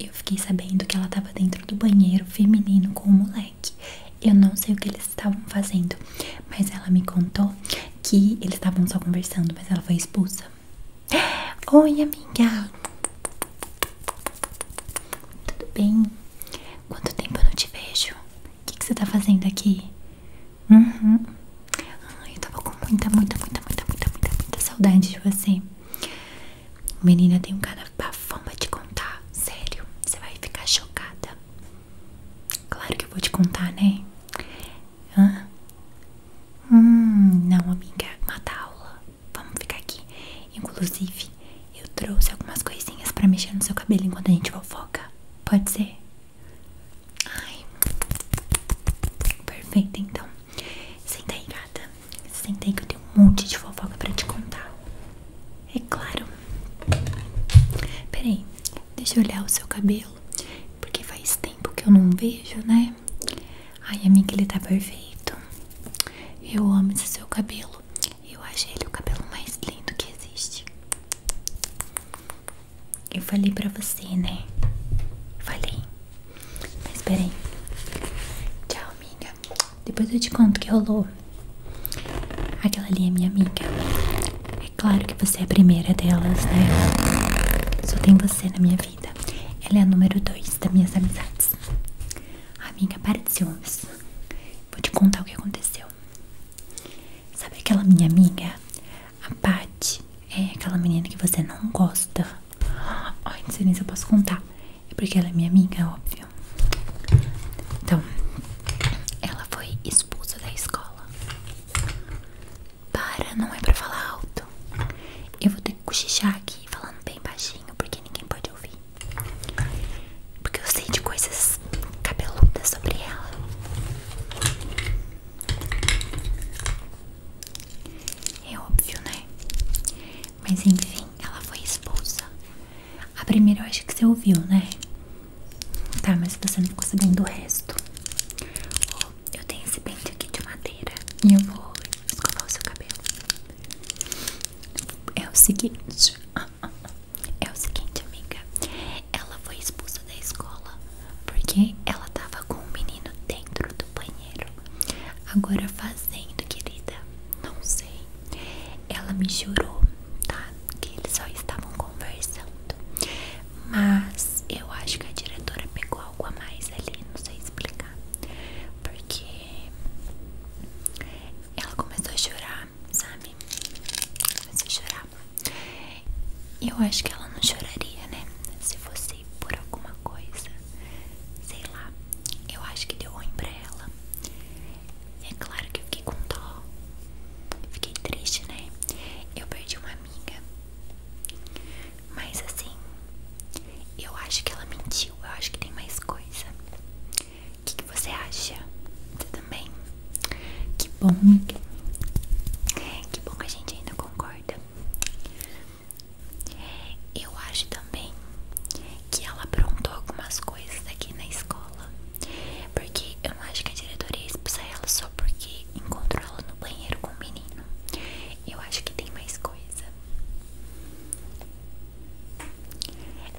Eu fiquei sabendo que ela estava dentro do banheiro feminino com o moleque. Eu não sei o que eles estavam fazendo, mas ela me contou que eles estavam só conversando, mas ela foi expulsa. Oi, amiga! Tudo bem? Quanto tempo eu não te vejo? O que, você tá fazendo aqui? Uhum. eu tava com muita, muita, muita, muita, muita, muita, muita saudade de você. Menina, tem um cara bafão pra te contar. Sério, você vai ficar chocada. Claro que eu vou te contar, né? Hum, não, amiga. Mata aula. Vamos ficar aqui. Inclusive, eu trouxe algumas coisinhas pra mexer no seu cabelo enquanto a gente fofoca. Pode ser? Ai. Perfeito, então. Senta aí, gata. Sentei que eu tenho um monte de fofoca pra te contar. É claro. Peraí, deixa eu olhar o seu cabelo. Porque faz tempo que eu não vejo, né? Ai, amiga, ele tá perfeito. Eu amo esse seu cabelo. Eu achei ele o cabelo mais lindo que existe. Eu falei pra você, né? Falei. Mas peraí. Tchau, amiga. Depois eu te conto o que rolou. Aquela ali é minha amiga. É claro que você é a primeira delas, né? Só tem você na minha vida. Ela é a número dois das minhas amizades. Amiga, para de ciúmes. Vou te contar o que aconteceu. Sabe aquela minha amiga? A Paty. É aquela menina que você não gosta. Ai, não sei nem se eu posso contar. É porque ela é minha amiga, é óbvio. Então, ela foi expulsa da escola. Para, não é pra falar alto. Eu vou ter que cochichar aqui falando bem baixinho, porque ninguém pode ouvir. Porque eu sei de coisas cabeludas sobre ela. É óbvio, né? Mas enfim, ela foi expulsa. A primeira eu acho que você ouviu, né? Tá, mas você não ficou sabendo do resto. Oh, eu tenho esse pente aqui de madeira e eu vou escovar o seu cabelo. É o seguinte. É o seguinte, amiga. Ela foi expulsa da escola porque ela tava com um menino dentro do banheiro. Agora fazendo, querida, não sei. Ela me jurou, tá? Que eles só estavam conversando. Mas eu acho que a diretora pegou algo a mais ali, não sei explicar. Porque ela começou a chorar, sabe? Começou a chorar. Eu acho que ela não choraria, né? Se você por alguma coisa. Sei lá, eu acho que deu ruim pra ela. É claro que eu fiquei com dó. Fiquei triste, né? Eu perdi uma amiga. Mas assim, eu acho que ela mentiu. Eu acho que tem mais coisa. O que, você acha? Você também? Que bom, Que bom que a gente ainda concorda. Eu acho também que ela aprontou algumas coisas aqui na escola. Porque eu não acho que a diretoria expulsa ela só porque encontrou ela no banheiro com o um menino. Eu acho que tem mais coisa.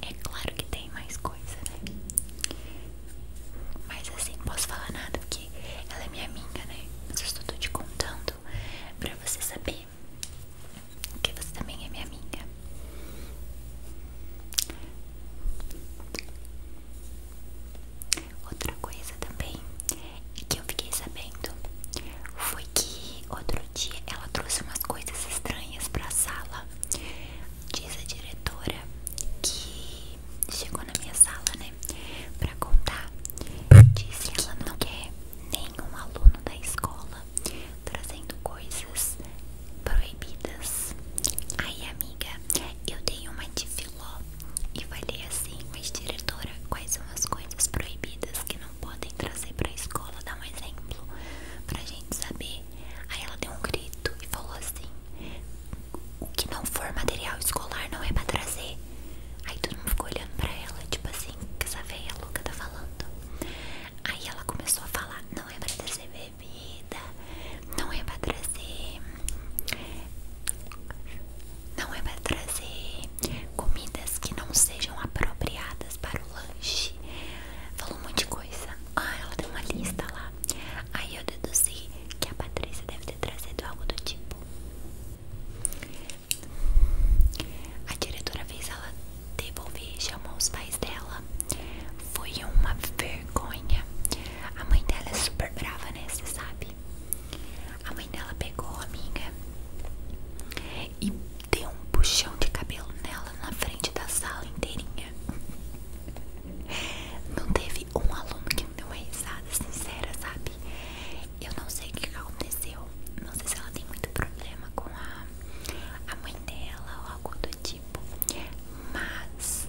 É claro que tem mais coisa, né? Mas assim, não posso falar nada porque ela é minha amiga, né? Mas eu estou te contando pra você saber porque você também é minha amiga. Outra coisa também que eu fiquei sabendo foi que outro dia ela trouxe umas coisas estranhas pra sala. Diz a diretora que chegou na minha sala, né, pra contar. Disse que ela não quer nenhum aluno da escola trazendo coisas proibidas. Aí, amiga, eu dei uma de filó e falei assim: Mas, diretora, quais são as coisas proibidas que não podem trazer pra escola? Dá um exemplo pra gente saber. Aí ela deu um grito e falou assim: O que não for material escolar não é pra trazer. Aí todo mundo ficou olhando pra ela, tipo assim que assim, essa veia louca tá falando. Aí ela começou a falar: não é pra trazer bebida, não é pra trazer. Não é pra trazer comidas que não sejam apropriadas para o lanche. Falou um monte de coisa. Ah, ela tem uma lista lá. Aí eu deduzi que a Patrícia deve ter trazido algo do tipo: a diretora fez ela devolver e chamou os pais dela. Foi uma vergonha. A mãe dela é super brava, né? Você sabe? A mãe dela pegou a amiga e deu um puxão de cabelo nela na frente da sala inteirinha. Não teve um aluno que não deu uma risada sincera, sabe? Eu não sei o que aconteceu. Não sei se ela tem muito problema com a, a mãe dela ou algo do tipo. Mas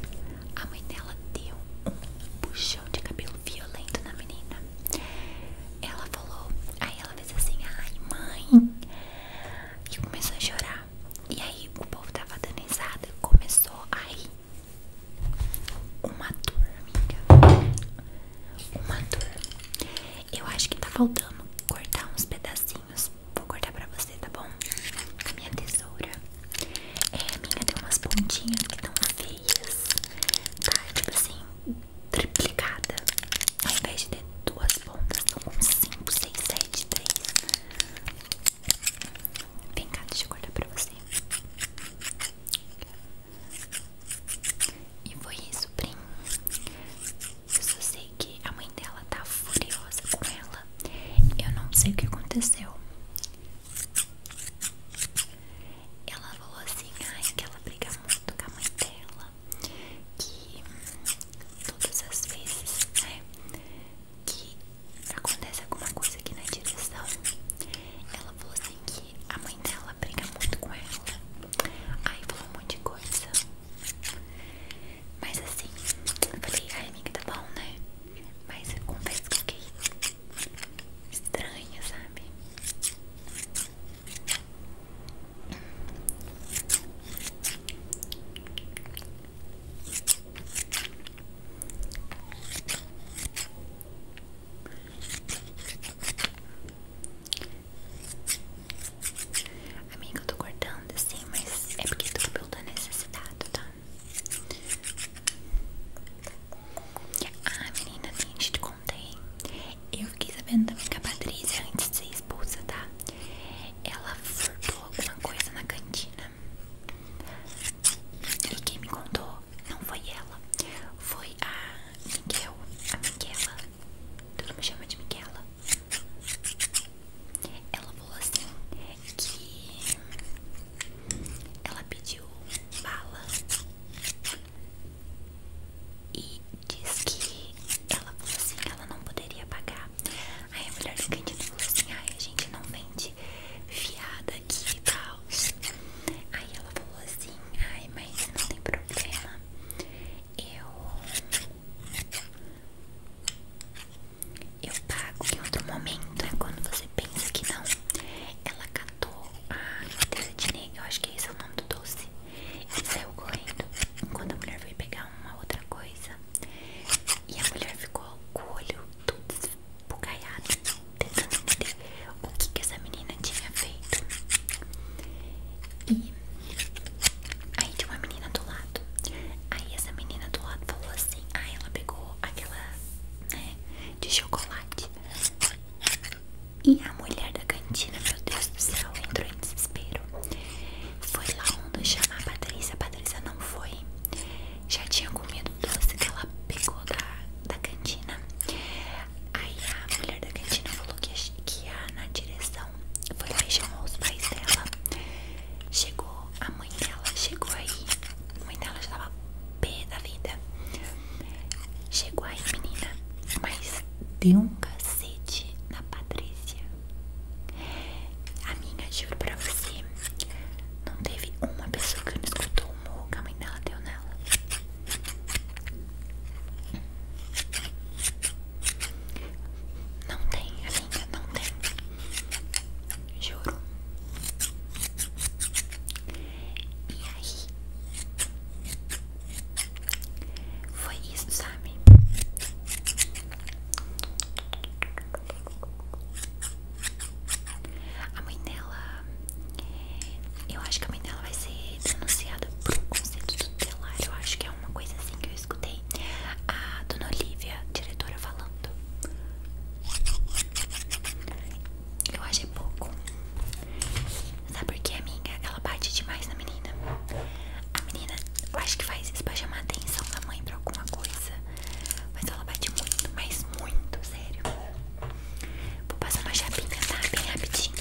a mãe dela deu um puxão de cabelo violento na menina. Ela falou, aí ela fez assim, ai mãe, e começou a chorar. E aí o povo tava dando começou a rir. Uma dor amiga uma dor. Eu acho que tá faltando cortar uns pedacinhos. Vou cortar pra você, tá bom? a minha tesoura. É, a minha tem umas pontinhas que tão feias. Tá, tipo assim, triplicada. Ao invés de ter duas pontas, estão com 5, 6, 7, 3. Vem cá, deixa eu cortar pra você. E foi isso, Prim. Eu só sei que a mãe dela tá furiosa com ela. Eu não sei o que aconteceu. Ela falou assim, ai, que ela briga muito com a mãe dela. Que hum, todas as vezes, né? Que acontece alguma coisa aqui na direção. Ela falou assim que a mãe dela briga muito com ela. Aí falou um monte de coisa. Mas assim, eu falei, ai amiga, tá bom, né? Mas eu confesso que fiquei estranha, sabe? Amiga, eu tô cortando assim, mas é porque teu cabelo tá necessitado, tá? Ah, menina, nem te contei. Eu fiquei sabendo também que a Patrícia, antes de ser expulsa, tá? Ela furtou alguma coisa na cantina. E quem me contou não foi ela, foi a Miguel, a Miquela, todo me chama de Miquela. Ela falou assim que ela pediu bala e diz que ela assim não poderia pagar. Aí a mulher do candidato falou assim, ai a gente não vende fiada aqui e tal. Aí ela falou assim, ai mas não tem problema eu eu pago em outro momento é quando você pensa que não ela catou a carteira de negro eu acho que é esse é o nome do doce e saiu correndo enquanto a mulher foi pegar uma outra coisa e a mulher ficou com o olho todo esbugalhado tentando entender o que que essa menina tinha feito. E aí tinha uma menina do lado. Aí essa menina do lado falou assim: Ah, ela pegou aquela, né, de chocolate. E a mulher da cantina, meu Deus do céu, entrou em desespero. Foi lá onde chamar a Patrícia. A Patrícia não foi. Já tinha comido doce que ela pegou da, da cantina. Aí a mulher da cantina falou que, que ia na direção. Foi lá e chamou os pais dela. Chegou, a mãe dela chegou aí. A mãe dela já tava pé da vida. Chegou aí, menina. Mas deu um cacete na Patrícia. a Amiga, juro pra você. Não teve uma pessoa que não escutou o murro que a mãe dela deu nela. Não tem, ainda não tem. Juro. E aí? Foi isso, sabe? A mãe dela. Eu acho que a mãe dela ela vai ser denunciada por conceito tutelar. Eu acho que é uma coisa assim que eu escutei a dona Olivia, diretora, falando. Eu achei é pouco. Sabe por que, amiga? Ela bate demais na menina. A menina, eu acho que faz isso pra chamar a atenção da mãe pra alguma coisa. Mas ela bate muito, mas muito, sério. Vou passar uma chapinha, tá? Bem rapidinho.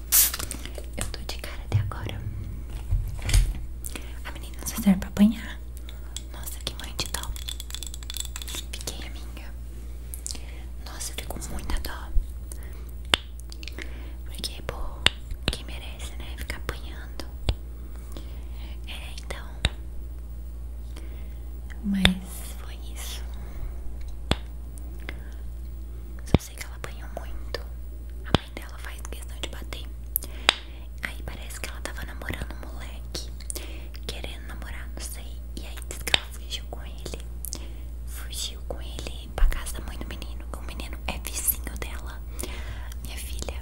Eu tô de cara até agora. A menina só serve pra apanhar. Nossa, que mãe de dó. Fiquei amiga. Nossa, eu fico com muita dó. Porque, pô, quem merece, né? Ficar apanhando. É, então. Mas foi isso. Só sei que ela apanhou muito. A mãe dela faz questão de bater. Aí parece que ela tava namorando um moleque. Querendo namorar, não sei. E aí diz que ela fugiu com ele. Fugiu com ele pra casa da mãe do menino. O menino é vizinho dela. Minha filha.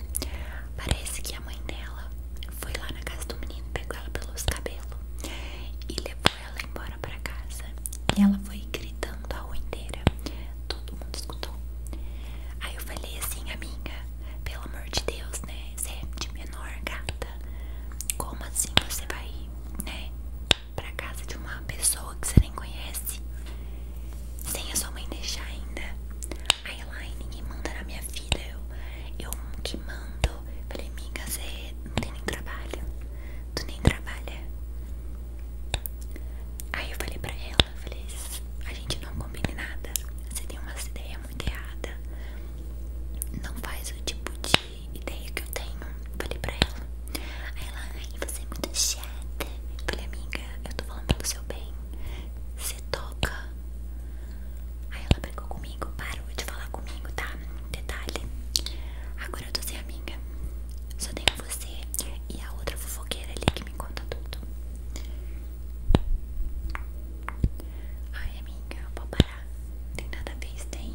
Parece que a mãe dela foi lá na casa do menino, pegou ela pelos cabelos e levou ela embora para casa e ela foi gritando a rua inteira. Todo mundo escutou. Aí eu falei assim, amiga, pelo amor de Deus, né? Você é de menor gata. Como assim você vai, né? Pra casa de uma pessoa que você nem conhece? Sem a sua mãe deixar ainda. Aí ela, ai, ninguém manda na minha vida. Eu, eu que mando tal. Falei, amiga, você não tem nem trabalho. Tu nem trabalha. Aí eu falei pra ela, falei, a gente não combina nada. Você tem uma ideia muito errada Não faz o tipo de ideia que eu tenho. Falei pra ela. Aí ela, ai, você é muito chata. Falei, amiga, eu tô falando pelo seu bem. Você toca. Aí ela pegou comigo, parou de falar comigo, tá? Detalhe. Agora eu tô amiga. Só tenho você e a outra fofoqueira ali que me conta tudo. Ai, amiga, vou parar. Tem nada a ver tem.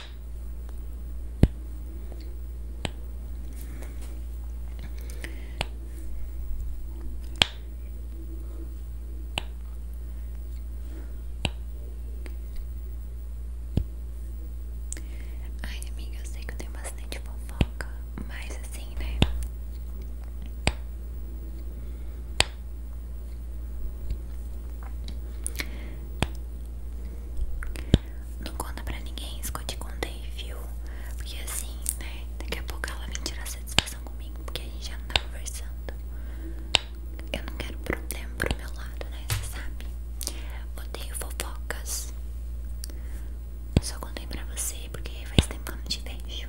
Ai, amiga, eu sei que eu tenho bastante fofoca, mas assim, né? Não conta pra ninguém isso que eu te contei, viu? Porque assim, né? Daqui a pouco ela vem tirar satisfação comigo, porque a gente já não tá conversando. Eu não quero problema pro meu lado, né? Você sabe? Odeio fofocas. Só contei pra você, porque faz tempo que eu não te vejo.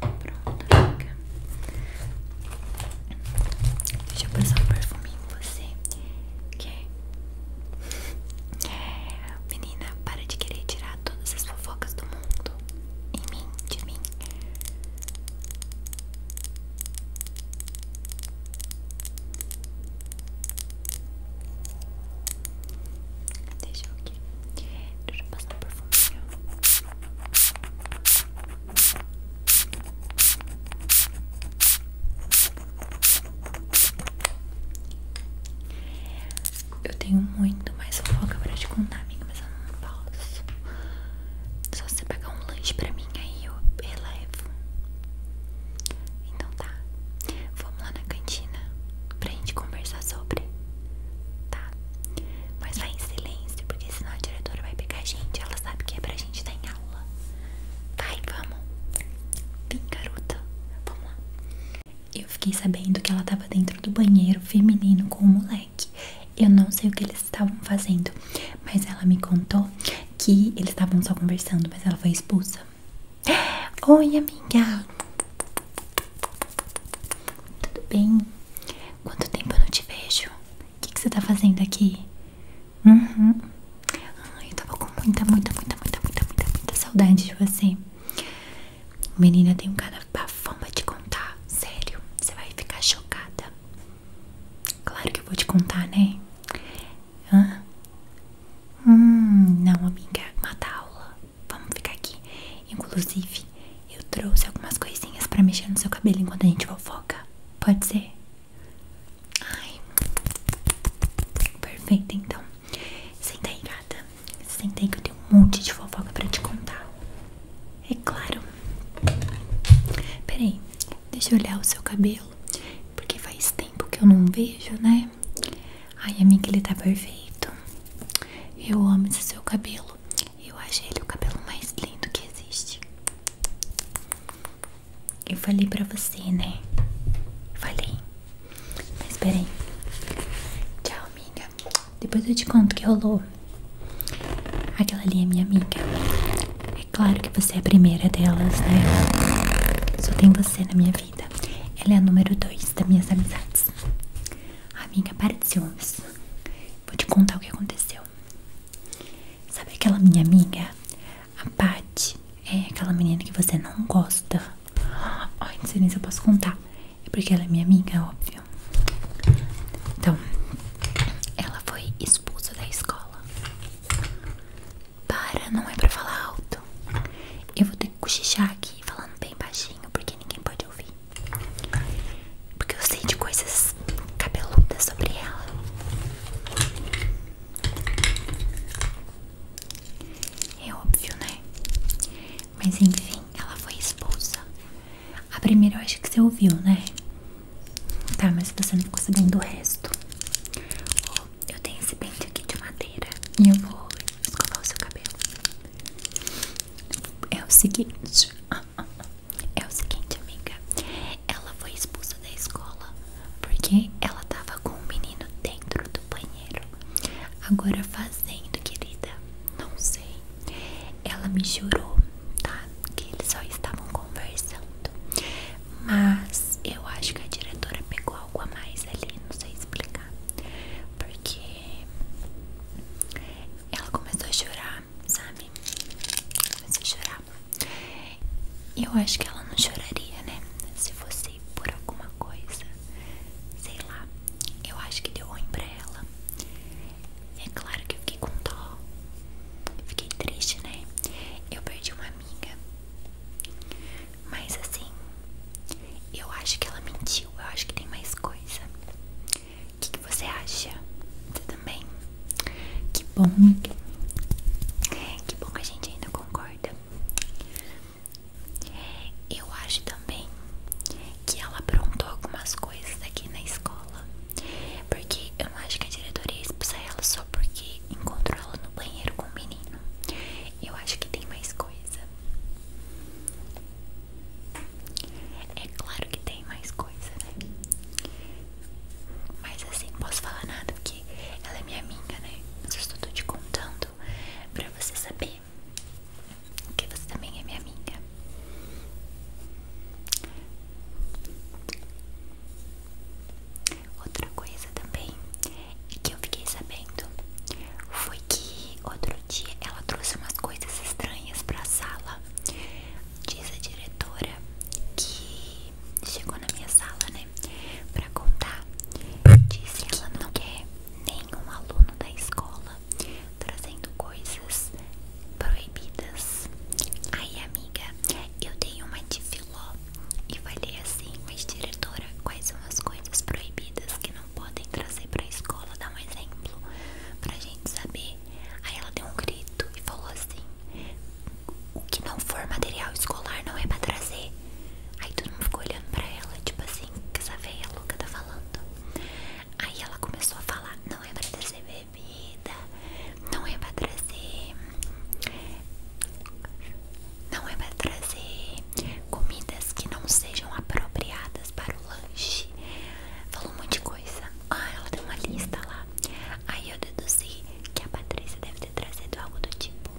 Pronto, amiga. Deixa eu passar um perfume em você. Quer? É- Menina, para de querer tirar todas as fofocas do mundo. Em mim, de mim. Deixa eu aqui. Deixa eu passar um perfuminho. Eu tenho muito mais fofoca pra te contar, amigo, mas eu não posso. Só você pegar um lanche pra mim, aí eu relevo. Então tá, vamos lá na cantina pra gente conversar sobre tá? Mas vai em silêncio, porque senão a diretora vai pegar a gente. Ela sabe que é pra gente estar em aula. Vai, vamos. Vem, garota. Vamos lá. Eu fiquei sabendo que ela tava dentro do banheiro feminino com o moleque. Eu não sei o que eles estavam fazendo, mas ela me contou que eles estavam só conversando, mas ela foi expulsa. Oi, amiga. Tudo bem? Quanto tempo eu não te vejo? O que, que você tá fazendo aqui? Uhum. eu tava com muita, muita, muita, muita, muita, muita, muita saudade de você. Menina, tem um cara bafão fama te contar. Sério, você vai ficar chocada. Claro que eu vou te contar, né? Hã? Hum, não, amiga. Mata aula vamos ficar aqui. Inclusive, eu trouxe algumas coisinhas pra mexer no seu cabelo enquanto a gente fofoca. Pode ser? Ai. Perfeito, então. Senta aí, gata. Senta aí que eu tenho um monte de fofoca pra te contar. É claro. Peraí, deixa eu olhar o seu cabelo. Porque faz tempo que eu não vejo, né? Ai, amiga, ele tá perfeito. Eu amo esse seu cabelo. Eu achei ele o cabelo mais lindo que existe. Eu falei pra você, né? Falei. Mas peraí. Tchau, amiga. Depois eu te conto o que rolou. Aquela ali é minha amiga. É claro que você é a primeira delas, né? Só tem você na minha vida. Ela é a número 2 das minhas amizades. Amiga, para de ciúmes. Vou te contar o que aconteceu. Sabe aquela minha amiga? A Paty. É aquela menina que você não gosta. Ai, não sei nem se eu posso contar. É porque ela é minha amiga, óbvio. Então, ela foi expulsa da escola. Para, não é pra falar alto. Eu vou ter que cochichar aqui falando bem baixinho porque ninguém pode ouvir. Porque eu sei de coisas cabeludas sobre ela. É óbvio, né? Mas enfim, ela foi esposa A primeira eu acho que você ouviu, né? Tá, mas você não ficou sabendo o resto. eu tenho esse pente aqui de madeira e eu vou escovar o seu cabelo. É o seguinte, é o seguinte, amiga. Ela foi expulsa da escola porque ela tava com um menino dentro do banheiro. Agora fazendo, querida, não sei. Ela me jurou, tá, Que eles só estavam conversando. Mas eu acho que a diretora pegou algo a mais ali, não sei explicar. Porque ela começou a chorar, sabe? Começou a chorar. E eu acho que ela não choraria, né? Se fosse por alguma coisa, sei lá. Eu acho que deu ruim pra ela. É claro que eu fiquei com Fiquei triste, né? Eu perdi uma amiga. Mas assim, eu acho que ela mentiu. Eu acho que tem mais coisa. O que, que você acha? Você também? Que bom. Que bom que a gente ainda concorda. Eu acho também que ela aprontou algumas coisas aqui na escola. Porque eu não acho que a diretoria expulsa ela só porque encontrou ela no banheiro com o menino. Eu acho que tem mais coisa. É claro que tem mais coisa, né? Mas assim, não posso falar nada porque ela é minha amiga, né? Mas eu estou te contando pra você saber que você também é minha amiga. Outra coisa também que eu fiquei sabendo foi que outro dia ela trouxe umas coisas estranhas pra sala. Diz a diretora que chegou na minha sala, né? Pra contar. Disse que ela não quer nenhum aluno da escola trazendo coisas proibidas. Aí, amiga, eu dei uma de filó e falei assim: Mas, diretora, quais são as coisas proibidas que não? podem trazer pra escola, dar um exemplo pra gente saber. Aí ela deu um grito e falou assim: O que não for material escolar não é pra trazer. Aí todo mundo ficou olhando pra ela, tipo assim: que essa velha é louca tá falando. Aí ela começou a falar: Não é pra trazer bebida, não é pra trazer. Não é pra trazer comidas que não sejam apropriadas para o lanche. Falou um monte de coisa. Ah, ela deu uma lista lá. Aí eu deduzi que a Patrícia deve ter trazido algo do tipo.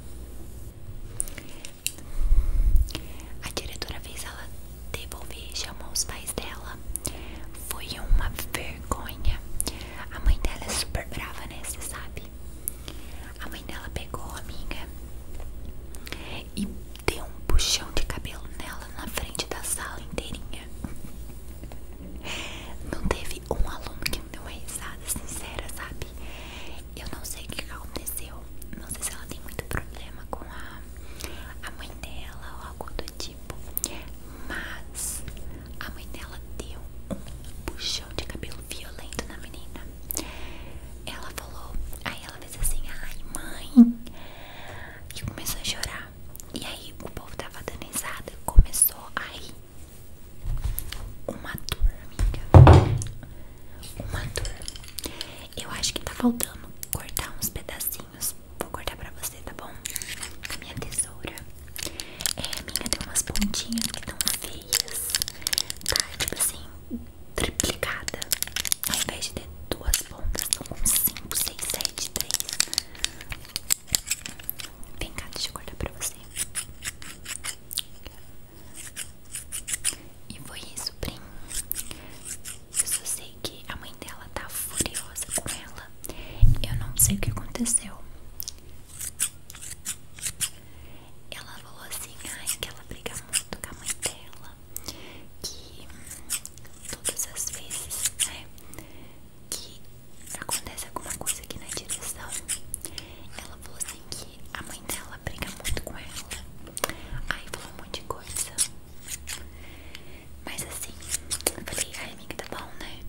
A diretora fez ela devolver e chamou os pais dela. Foi uma vergonha. A mãe dela é super brava, né? sabe? A mãe dela pegou a amiga e deu um puxão de cabelo nela na frente da sala inteirinha. Não teve um aluno que não deu uma risada sincera, sabe? Eu não sei o que aconteceu. Não sei se ela tem muito problema com a, a mãe dela ou algo do tipo. Mas a mãe dela deu um puxão de cabelo violento na menina. Ela falou, aí ela fez assim, ai mãe, e começou a chorar. E aí o povo tava dando começou a rir. Uma dor, amiga. Uma dor. Eu acho que tá faltando cortar uns pedacinhos. Vou cortar pra você, tá bom? A minha tesoura. É, amiga, tem umas pontinhas que tão feias. Tá, tipo assim, triplicada. Ao invés de ter duas pontas, são com 5, 6, 7, 3. Vem cá, deixa eu cortar pra você. E foi isso, Prim. Eu só sei que a mãe dela tá furiosa com ela. Eu não sei o que aconteceu. Ela falou assim, ai, que ela briga muito com a mãe dela que todas as vezes né, que acontece alguma coisa aqui na direção, ela falou assim que a mãe dela briga muito com ela. Aí falou um monte de coisa. Mas assim, eu falei, ai amiga, tá bom, né?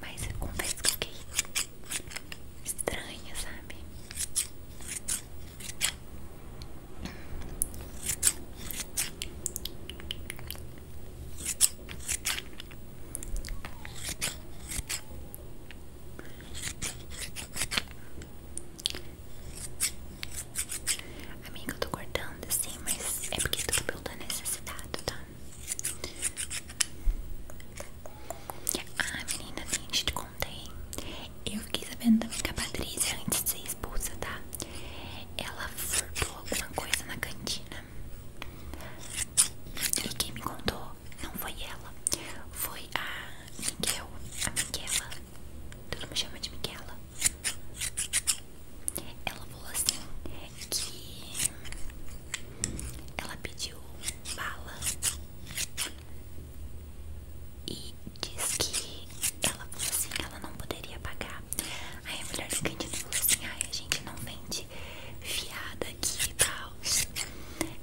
Mas confesso que fiquei estranha, sabe? Amigo, eu tô cortando assim, mas é porque tô cabelo tá necessitado, tá? Ah, menina, tem gente contei. Eu fiquei sabendo também que a Patrícia, antes de ser expulsa, tá? Ela furtou alguma coisa na cantina. E quem me contou não foi ela, foi a Miguel, a Miquela. Todo mundo chama de Miquela. Ela falou assim que ela pediu bala e diz que ela falou assim, ela não poderia pagar. Aí a mulher do candido falou assim, ai a gente não vende fiada aqui e tal.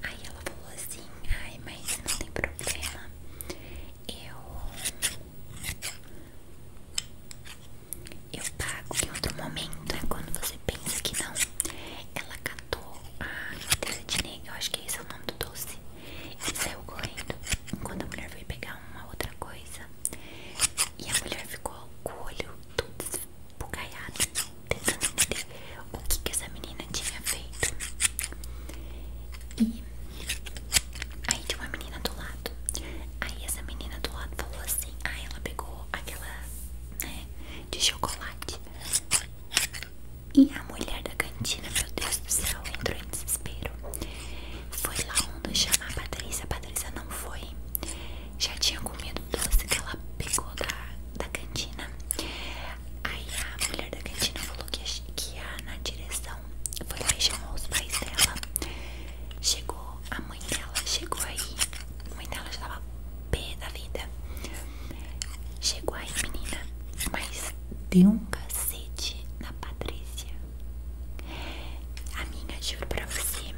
Aí ela falou assim, ai mas não tem problema. Eu... Eu pago em outro momento, é quando você pensa que não. Ela catou a carteira de negro, acho que esse é o nome do doce e saiu correndo. enquanto a mulher veio pegar uma outra coisa, e a mulher ficou com o olho todo esbugalhado, tentando entender o que, que essa menina tinha feito. E aí tinha uma menina do lado. Aí essa menina do lado falou assim: aí ah, ela pegou aquela, né, de chocolate. E a mulher da cantina, meu Deus do céu, entrou em desespero. Foi lá um nos chamar a Patrícia, a Patrícia não foi. Já tinha comido doce que ela pegou da, da cantina. Aí a mulher da cantina falou que, que a na direção foi lá e chamou os pais dela. Chegou, a mãe dela chegou aí. A mãe dela já tava pé da vida. Chegou aí, menina, mas deu um cacete na Patrícia. Amiga, juro pra você,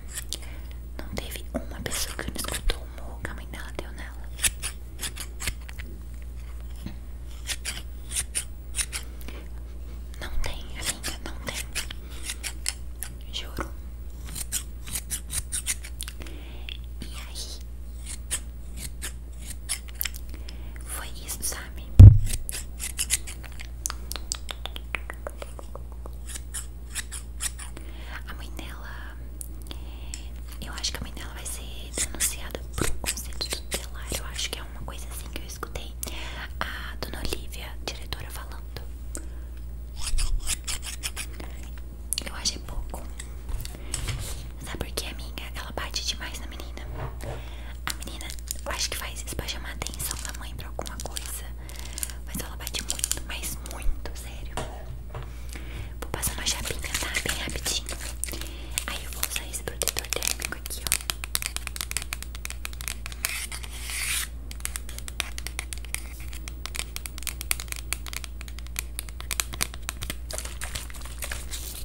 não teve uma pessoa que não escutou o morro que a mãe dela deu nela. Não tem, amiga, não tem. Juro. E aí? Foi isso, sabe? A mãe dela. Eu acho que a mãe dela vai ser denunciada por um conceito tutelar. Eu acho que é uma coisa assim que eu escutei a dona Olivia, diretora, falando. Eu achei pouco. Sabe por que a minha? Ela bate demais na menina. A menina, acho que faz isso pra chamar a atenção da mãe pra alguma coisa. Mas ela bate muito, mas muito, sério. Vou passar uma chapinha, tá? Bem rapidinho. Aí eu vou usar esse protetor térmico aqui, ó. Eu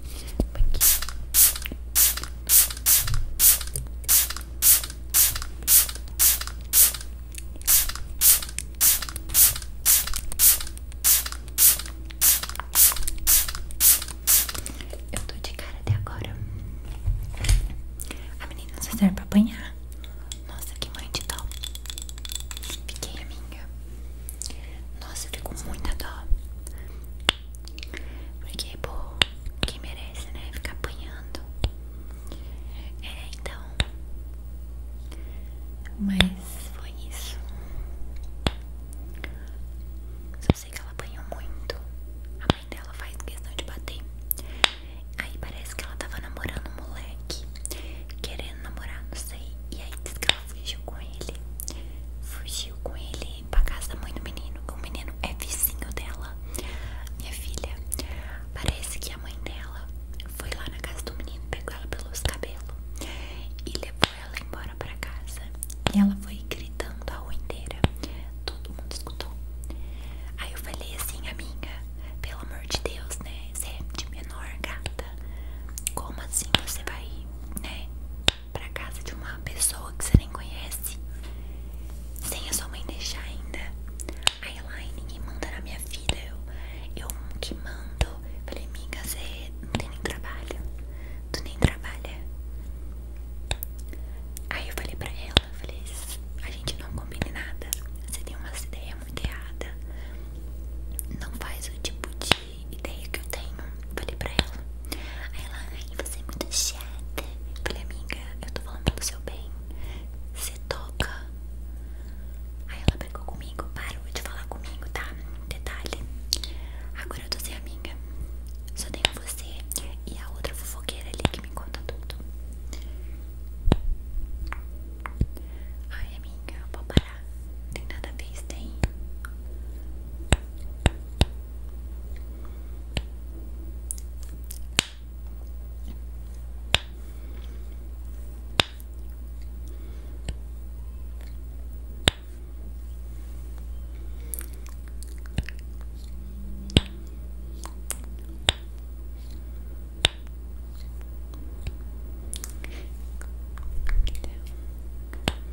tô de cara até agora. A menina só serve pra apanhar. Nossa, que mãe de dó. Fiquei a minha. Nossa, ficou fico com muita dó. Porque, pô, porque merece, né? Ficar apanhando. É, então. Mas foi isso. Só sei que ela apanhou muito. A mãe dela faz questão de bater. Aí parece que ela tava namorando um moleque. Querendo namorar, não sei. E aí diz então, fugiu com ele. Fugiu com ele pra casa da mãe do menino. O menino é vizinho dela, minha filha. Parece que a mãe dela foi lá na casa do menino, pegou ela pelos cabelos e levou ela embora pra casa. E ela foi gritando a rua inteira. Todo mundo escutou. Aí eu falei assim, amiga, pelo amor de Deus, né? Você é de menor gata. Como assim você vai, né? pra casa de uma pessoa que você nem conhece sem a sua mãe deixar ainda. Aí ela, ai, ninguém manda na minha vida, eu, eu que mando. Falei, amiga, você não tem nem trabalho, tu nem trabalha. Aí eu falei pra ela, falei, a gente não combina nada, você tem umas ideias muito erradas. Não faz o tipo de ideia que eu tenho. Falei pra ela. Aí ela, ai, você é muito chata. Falei, amiga, eu tô falando pelo seu bem. Você toca. Aí ela brincou comigo, parou de falar comigo, tá? Detalhe. Agora eu tô sem amiga. Só tenho você e a outra fofoqueira ali que me conta tudo. Ai, amiga, papai tem nada a ver isso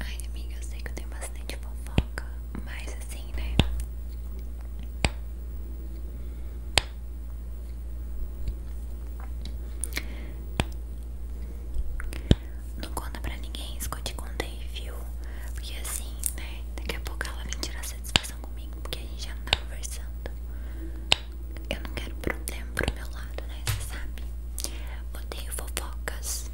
Ai, amiga, eu sei que eu tenho bastante fofoca, mas assim, né? Não conta pra ninguém isso que eu viu? Porque assim, né? Daqui a pouco ela vem tirar satisfação comigo, porque a gente já não tá conversando. Eu não quero problema pro meu lado lado, né? Você sabe. Odeio fofocas.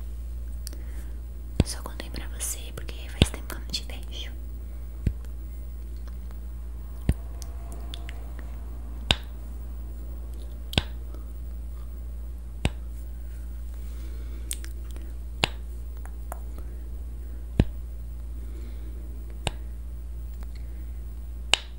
Só contei pra você porque faz tempo que não te vejo.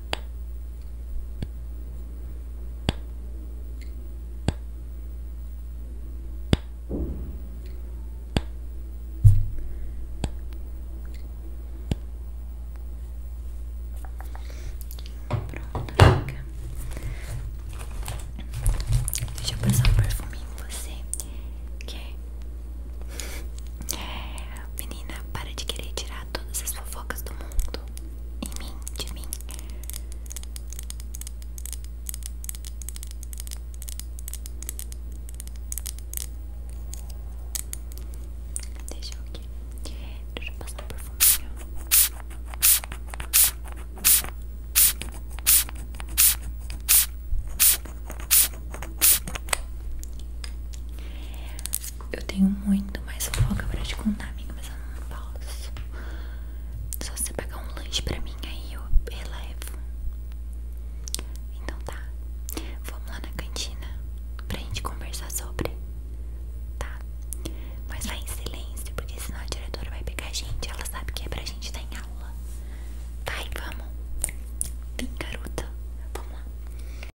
Pronto, Deixa eu passar um perfuminho você. Quer? É Menina, para de querer tirar todas as fofocas do mundo em mim, de mim. Deixa eu aqui. Deixa eu passar por perfuminho. Eu tenho muito mais fofoca pra te contar, amiga, mas eu não posso. Só você pegar um lanche pra mim, aí eu relevo. Então tá. Vamos lá na cantina pra gente conversar sobre. Tá? Mas vai em silêncio, porque senão a diretora vai pegar a gente. Ela sabe que é pra gente dar em aula. Vai, vamos. Vem, garota. Vamos lá.